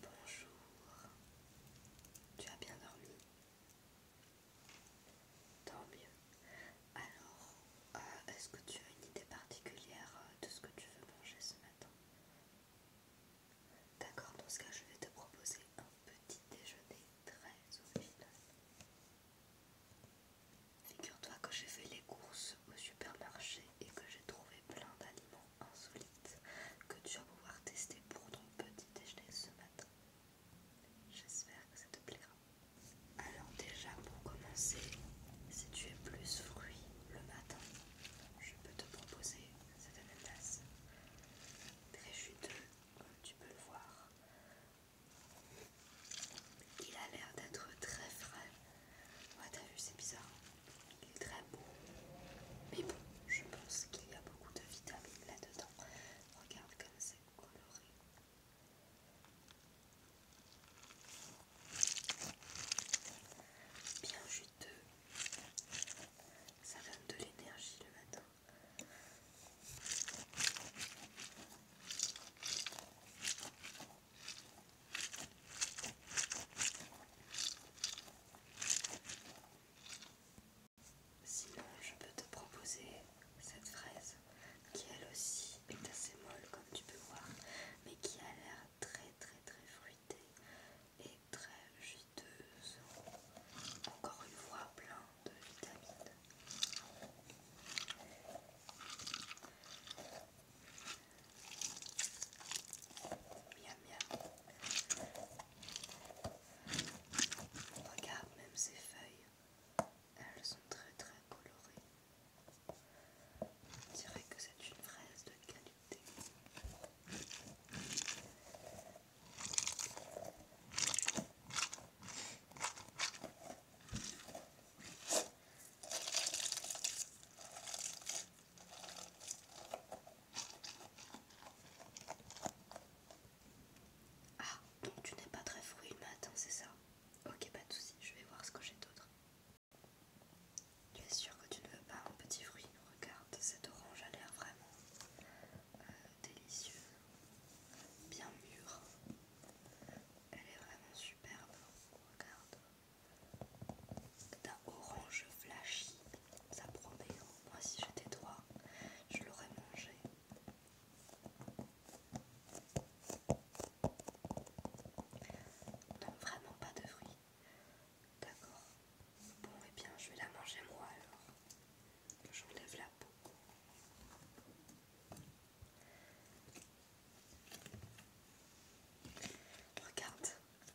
Bonjour, tu as bien dormi Tant mieux. Alors, euh, est-ce que tu as une idée particulière euh, de ce que tu veux manger ce matin D'accord, dans ce cas, je vais te proposer un petit déjeuner très original. Figure-toi que j'ai fait les courses au supermarché et que j'ai trouvé plein d'aliments insolites que tu vas pouvoir tester pour ton petit déjeuner ce matin. J'espère que ça te plaira. Alors déjà pour commencer, si tu es plus fruits le matin, je peux te proposer cette ananas très juteux comme tu peux le voir. Il a l'air d'être très frais. Ouais, t'as vu, c'est bizarre. Il est très beau. Mais bon, je pense qu'il y a beaucoup de vitamines là-dedans. Regarde comme c'est coloré. Bien juteux. Ça donne de l'énergie le matin. Sinon, je peux te proposer cette fraise qui elle aussi est assez molle comme tu peux voir, mais qui a l'air très très très fruitée et très juteuse. Encore une fois, plein de vitamines. Regarde même ces feuilles. Elles sont très très colorées. On dirait que c'est une fraise de qualité. Ah, donc tu n'es pas très fruit le matin, c'est ça Ok, pas de soucis, je vais voir ce que j'ai d'autre. Tu es sûr que tu ne veux pas un petit fruit Regarde, cette orange a l'air vraiment euh, délicieux bien mûr. Elle est vraiment superbe. Regarde. C'est orange flashy. Ça promet. Hein. Moi, si j'étais toi, je l'aurais mangé. Non, vraiment pas de fruits. D'accord. Bon, et eh bien, je vais la manger moi alors. J'enlève la peau. Regarde,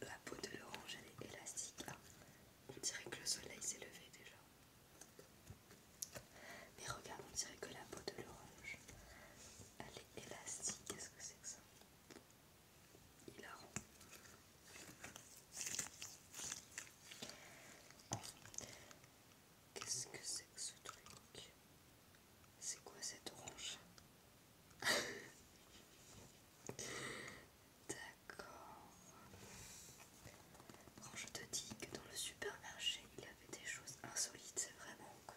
la peau de l'orange elle est élastique. là. Hein. on dirait que le soleil s'est levé déjà. Mais regarde, on dirait que la peau de l'orange elle est élastique. Qu'est-ce que c'est que ça Il a rond. Qu'est-ce que c'est que ce truc C'est quoi cette orange D'accord. Quand je te dis que dans le supermarché il avait des choses insolites, c'est vraiment que...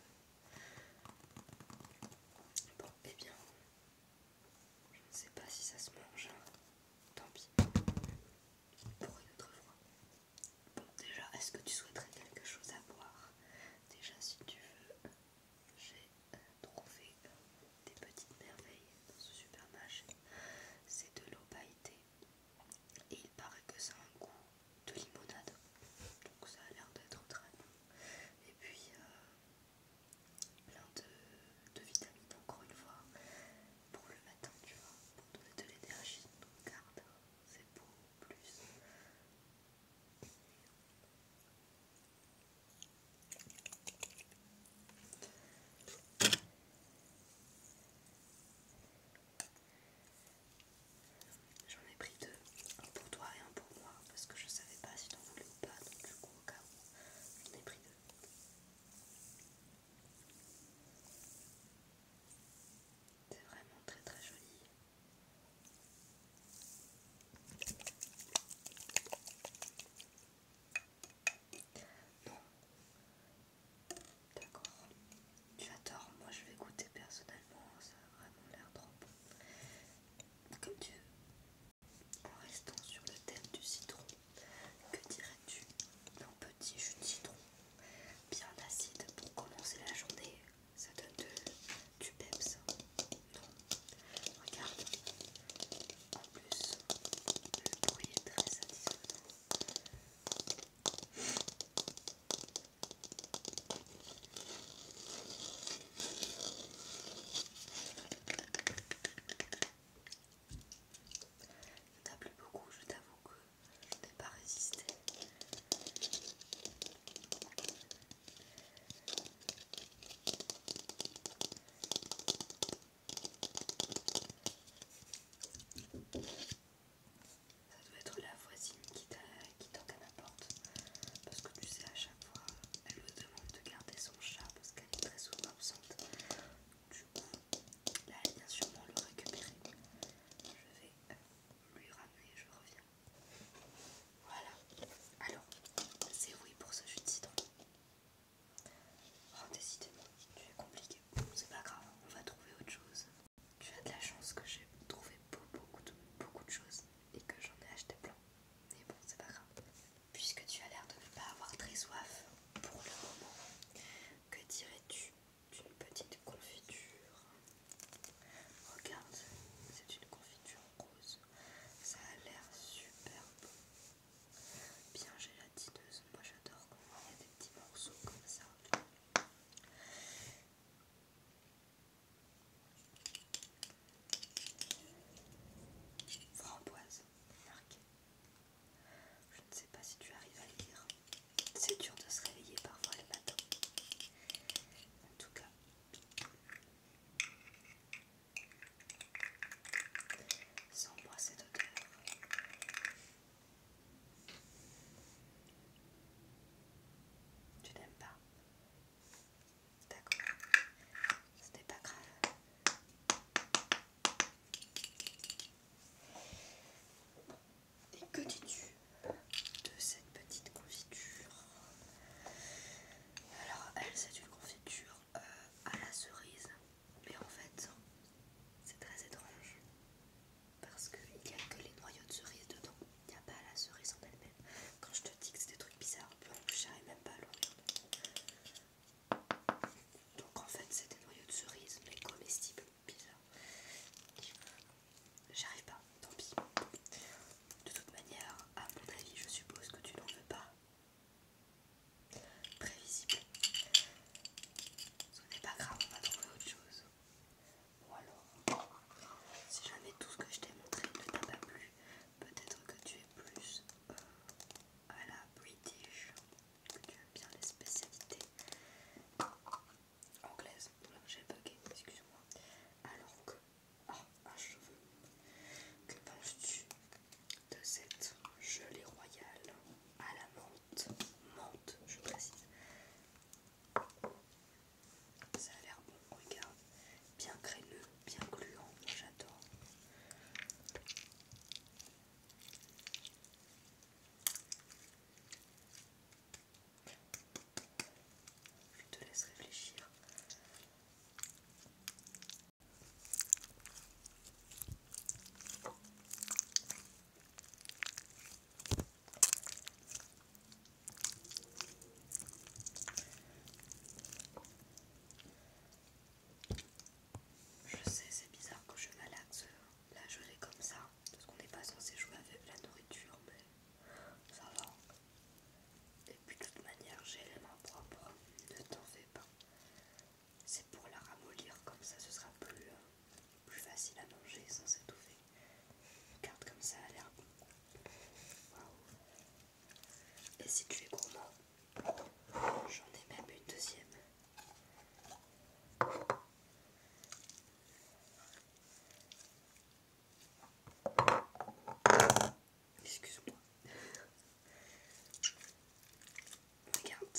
Bon, et eh bien, je ne sais pas si ça se mange. Hein. Tant pis. Pour une autre fois. Bon, déjà, est-ce que tu souhaiterais quelque chose à boire Déjà, si tu veux, j'ai euh, trouvé euh, des petites merveilles dans ce supermarché. C'est de l'eau pailletée et il paraît que ça a un goût de limonade. Donc, ça a l'air d'être très bon. Et puis, euh, plein de, de vitamines, encore une fois pour le matin, tu vois, pour donner de l'énergie. Donc garde, c'est beaucoup plus. J'en ai pris deux, un pour toi et un pour moi, parce que je savais pas si t'en voulais ou pas, donc du coup au cas où, j'en ai pris deux. C'est vraiment très très joli. Bon D'accord. Tu adores. Moi je vais goûter personnellement. Ça a vraiment l'air trop bon. Comme tu veux. En restant sur le thème du citron. Que dirais-tu d'un petit jus de citron bien acide pour commencer la journée Ça donne de, du peps. regarde. En plus, le bruit est très satisfaisant. table beaucoup, je t'avoue que je n'ai pas résisté. Ça doit être la voisine qui, qui toque à ma porte. Parce que tu sais, à chaque fois, elle me demande de garder son chat parce qu'elle est très souvent absente. Là, elle vient sûrement le récupérer. Je vais euh, lui ramener, je reviens. Voilà. Alors, c'est oui pour ce jus de citron. Oh, décidément, tu es compliqué. C'est pas grave, on va trouver autre chose. Tu as de la chance que j'ai trouvé beaucoup beaucoup de choses et que j'en ai acheté plein. Mais bon, c'est pas grave. Puisque tu as l'air de ne pas avoir très soif pour le moment, que dirais-tu d'une petite confiture Regarde, c'est une confiture rose. Ça a l'air super bon. Bien gélatineuse. Moi j'adore quand il y a des petits morceaux comme ça. Framboise, je ne sais pas si tu arrives à lire. C'est dur de se réveiller parfois le matin. En tout cas, sans moi cette odeur. Tu n'aimes pas D'accord. Ce n'est pas grave. Et que dis-tu de cette petite confiture Alors, elle, c'est une confiture euh, à la cerise, mais en fait, c'est très étrange parce qu'il n'y a que les noyaux de cerise dedans, il n'y a pas la cerise en elle-même. Quand je te dis que c'est des trucs bizarres, bon, j'arrive même pas à donc en fait c'est des noyaux de cerise mais comestibles, bizarre. J'arrive pas, tant pis. De toute manière, à mon avis, je suppose que tu n'en veux pas. Prévisible. Ce n'est pas grave, on va trouver autre chose. Ou alors, si jamais tout ce que je t'ai montré ne t'a pas plu, peut-être que tu es plus euh, à la British, tu aimes bien les spécialités anglaises. j'ai bugué, excuse-moi. Alors que, ah, un cheveu. Que penses-tu de cette gelée royale à la menthe Menthe, je précise. Ça a l'air bon, regarde, bien crémeux bien gluant, j'adore. Je te laisse réfléchir. Je sais, c'est bizarre que je malaxe la gelée comme ça, parce qu'on n'est pas censé jouer avec la nourriture, mais ça va. Et puis de toute manière, j'ai les mains propres, ne t'en fais pas. C'est pour la ramollir, comme ça ce sera plus, euh, facile à manger sans s'étouffer. Regarde comme ça a l'air bon. Waouh! Et si tu es gourmand, j'en ai même une deuxième. Excuse-moi. Regarde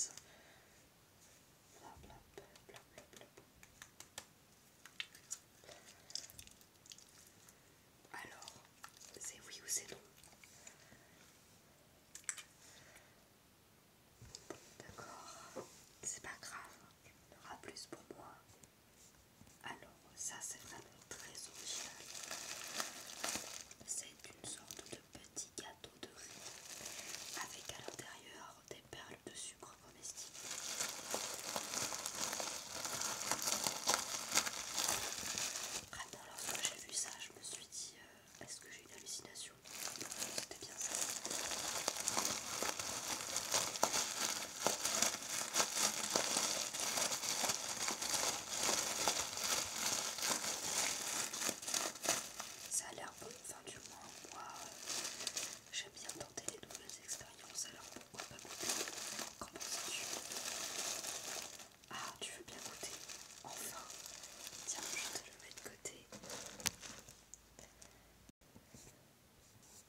alors, c'est oui ou c'est non D'accord, c'est pas grave, il y en aura plus pour moi. Alors, ça c'est vraiment très original. C'est une sorte de petit gâteau de riz avec à l'intérieur des perles de sucre domestique. Après, ah, lorsque j'ai vu ça, je me suis dit euh, est-ce que j'ai une hallucination C'était bien ça. Ça a l'air bon, enfin, du moins, moi euh, j'aime bien tenter les nouvelles expériences, alors pourquoi pas goûter comment ça ah, tu veux bien goûter Enfin Tiens, je te le mets de côté.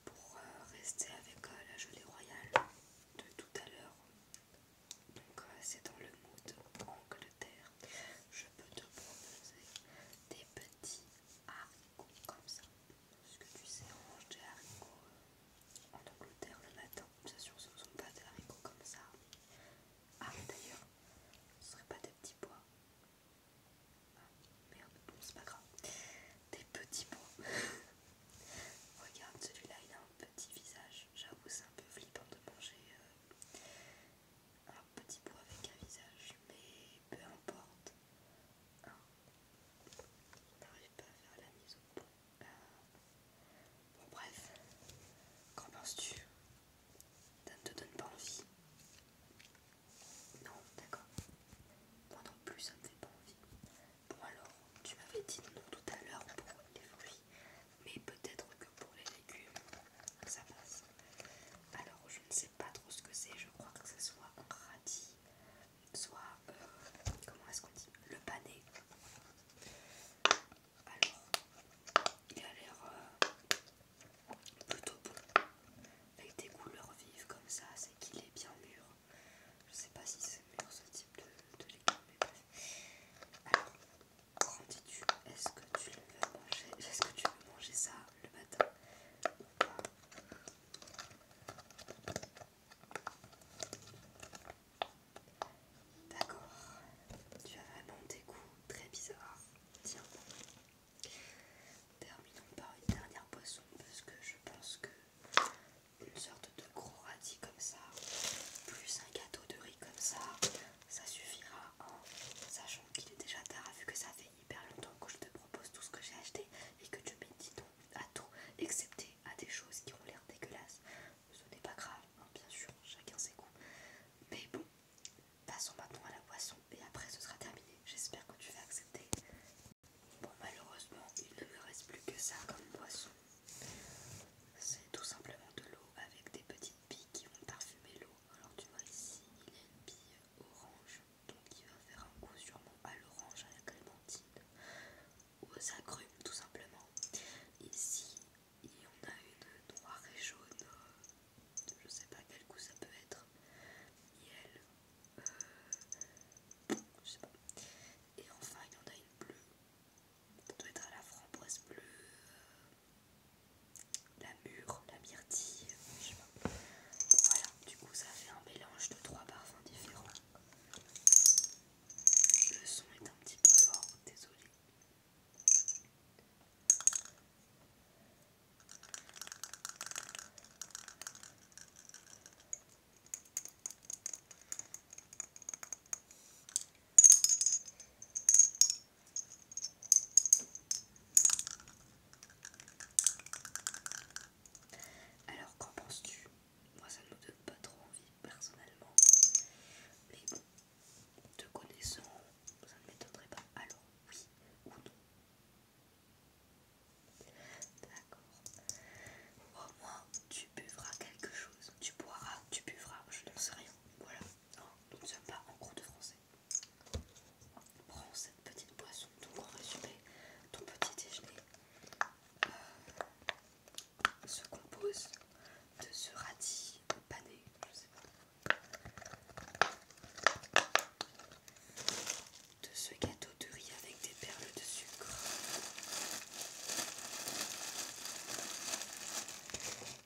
Pour euh, rester avec euh, la gelée royale de tout à l'heure. Donc euh, c'est dans le mood Angleterre. Je peux te proposer des petits haricots comme ça. Est-ce que tu sais, on mange des haricots en Angleterre, le matin, bien sûr, ce ne sont pas des haricots comme ça. Ah, d'ailleurs, ce ne pas des petits pois. Ah, merde, bon, c'est pas grave. Des petits pois. Regarde, celui-là, il a un petit visage. J'avoue, c'est un peu flippant de manger euh, un petit pois avec un visage, mais peu importe. Ah, on n'arrive pas à faire la mise au point. Bon, bref, qu'en penses-tu Ça ne te donne pas envie Non, d'accord. Moi non plus, ça ne me fait pas envie. Bon, alors, tu m'avais dit non tout à l'heure pour les fruits, mais peut-être que pour les légumes, ça passe. Alors, je ne sais pas trop ce que c'est, je crois que ce soit un radis soit, euh, comment est-ce qu'on dit, le pané. Alors, il a l'air euh, plutôt bon, avec des couleurs vives comme ça, c'est qu'il est bien mûr. Je sais pas si c'est mûr ce type de, de mais bref. Alors, quand tu est-ce que tu veux manger, est-ce que tu veux manger ça le matin D'accord, tu as vraiment des goûts très bizarres. Tiens, terminons par une dernière boisson parce que je pense que une sorte de gros radis comme ça, plus un gâteau de riz comme ça, ça suffira. en hein. Sachant qu'il est déjà tard, vu que ça fait hyper longtemps que je te propose tout ce que j'ai acheté et que tu me à tout, excepté à des choses qui ont l'air dégueulasses. Ce n'est pas grave, hein, bien sûr, chacun ses goûts. Mais bon, passons maintenant à la boisson et après ce sera terminé. J'espère que tu vas accepter. Bon, malheureusement, il ne me reste plus que ça comme boisson. C'est tout simplement de l'eau avec des petites billes qui vont parfumer l'eau. Alors tu vois ici, il y a une bille orange donc il va faire un coup sûrement à l'orange, à la clémentine, aux agrumes tout simplement. Ici, il y en a une noire et jaune, euh, je sais pas quel coup ça peut être, miel, euh, je sais pas. Et enfin, il y en a une bleue, ça doit être à la framboise bleue. Euh, la mûre, la myrtille, je sais pas. Voilà, du coup ça fait un mélange de trois parfums différents. Le son est un petit peu fort, désolé. Alors qu'en penses-tu Moi ça ne me donne pas trop envie personnellement. Mais bon, te connaissant, ça ne m'étonnerait pas. Alors oui ou non D'accord. Au moins tu buvras quelque chose. Tu boiras, tu buvras, je n'en sais rien. Voilà. Oh, donc nous ne sommes pas en cours de français petite boisson. Donc en résumé, ton petit déjeuner euh, se compose de ce radis pané, de ce gâteau de riz avec des perles de sucre,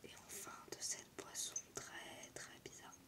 et enfin de cette boisson très très bizarre.